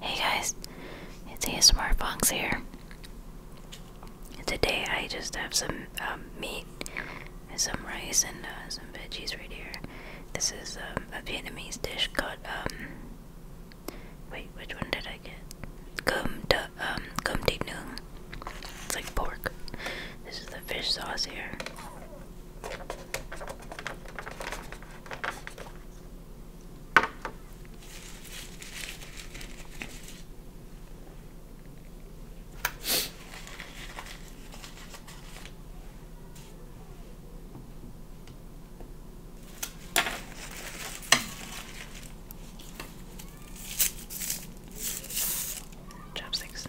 Hey guys, it's Smart Funks here. Today I just have some um, meat and some rice and uh, some veggies right here. This is um, a Vietnamese dish called, um, wait, which one did I get? Gum de, um, gum de nung. It's like pork. This is the fish sauce here. Chopsticks.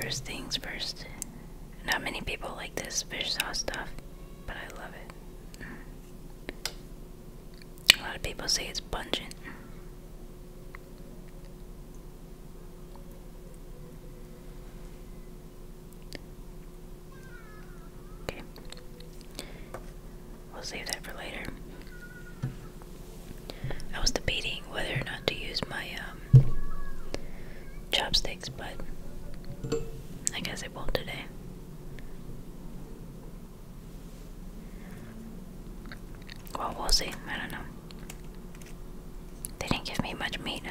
First things first. Not many people like this fish sauce stuff, but I love it. A lot of people say it's pungent. Okay. We'll save that for later. I was debating whether or not to use my um, chopsticks, but I guess I won't today. Well, we'll see. I don't know. They didn't give me much meat.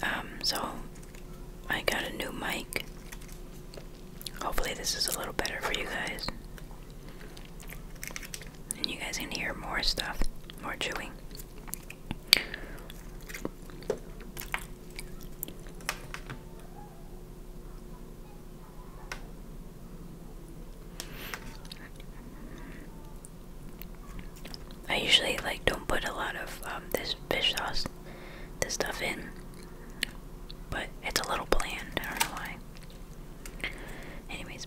Um, so I got a new mic. Hopefully, this is a little better for you guys. And you guys can hear more stuff, more chewing. I usually like don't put a lot of um, this fish sauce, this stuff in, but it's a little bland. I don't know why. Anyways.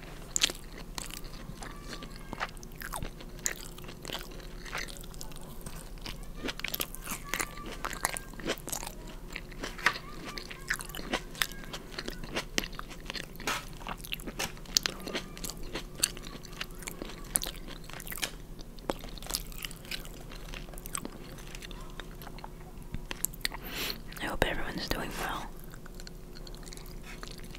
I hope everyone's doing well.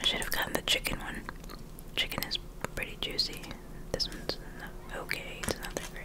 I should have gotten the chicken one. Chicken is pretty juicy. This one's okay, it's not that great.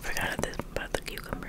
Forgot this about the cucumber.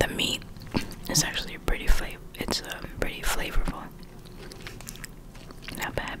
The meat is actually pretty flavor. It's um, pretty flavorful. Not bad.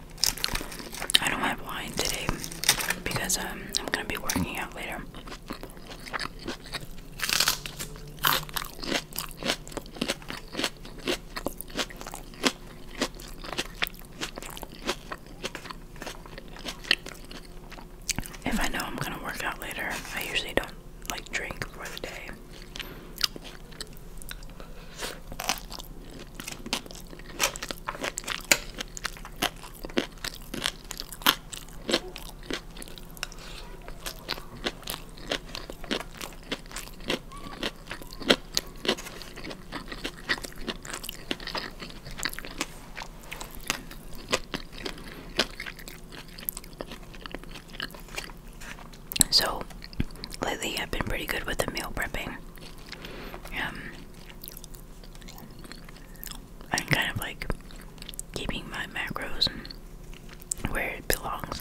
I don't have wine today because um, I'm gonna be working out later. If I know I'm gonna work out later, I usually don't like drink for the day. So lately I've been pretty good with the meal prepping. Um I'm kind of like keeping my macros where it belongs.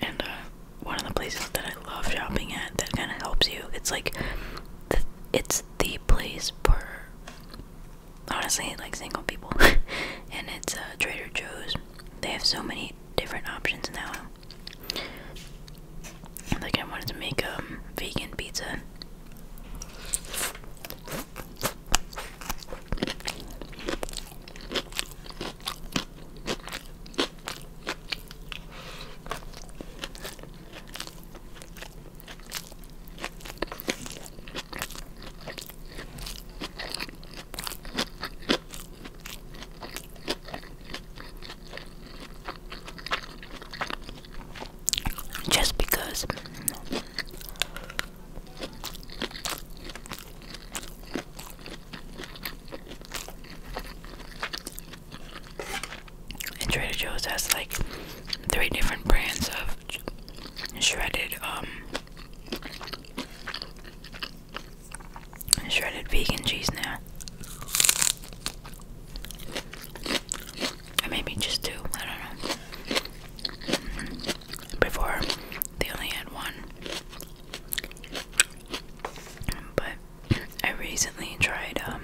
And uh, one of the places that I love shopping at that kind of helps you, it's like it's the place for honestly like single people. and it's uh, Trader Joe's. They have so many different options now. Like I wanted to make a um, vegan pizza. Just because and Trader Joe's has like three different brands of shredded um, shredded vegan cheese now. maybe just two, I don't know. Mm-hmm. Before, they only had one. But I recently tried um,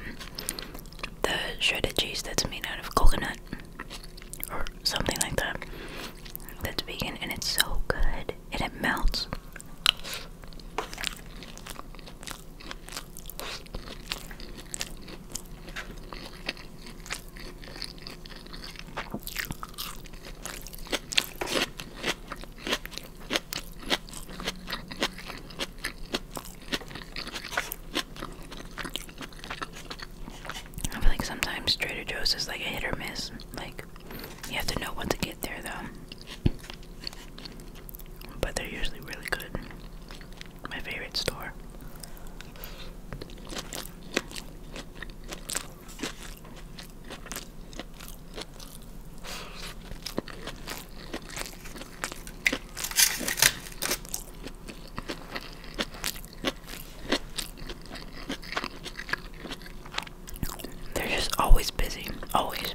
the shredded cheese that's made out of coconut or something like that. That's vegan and it's so good and it melts. I feel like sometimes Trader Joe's is like a hit or miss. Like you have to know when to get there though. But they're usually really good. My favorite store. They're just always busy. Always.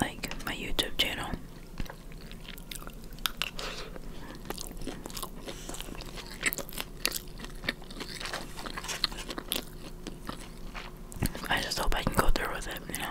like my YouTube channel. I just hope I can go through with it, you know.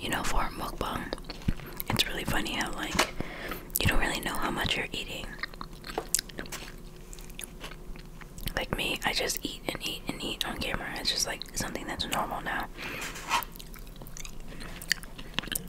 You know, for a mukbang, it's really funny how, like, you don't really know how much you're eating. Like me, I just eat and eat and eat on camera. It's just like something that's normal now.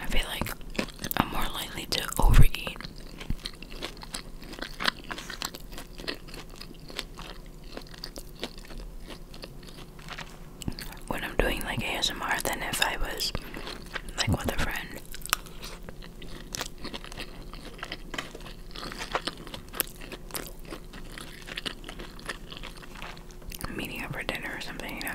I feel like I'm more likely to overeat. When I'm doing like ASMR, than if I was like with a friend meeting up for dinner or something, you know.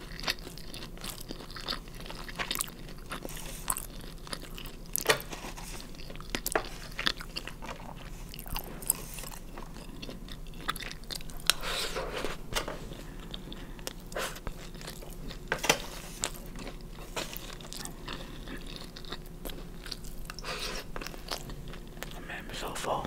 Oh man, I'm so full.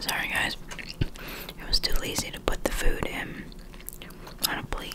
Sorry, guys. It was too lazy to put the food in on a plate.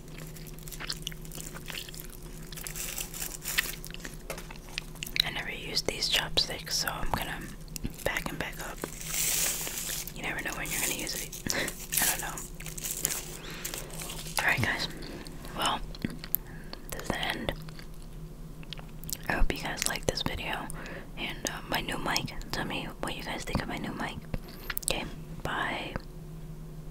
I never used these chopsticks, so I'm gonna back and back up. You never know when you're gonna use it. I don't know. Alright, guys. Well, this is the end. I hope you guys liked this video and uh, my new mic. Tell me what you guys think of my new mic. Okay, bye.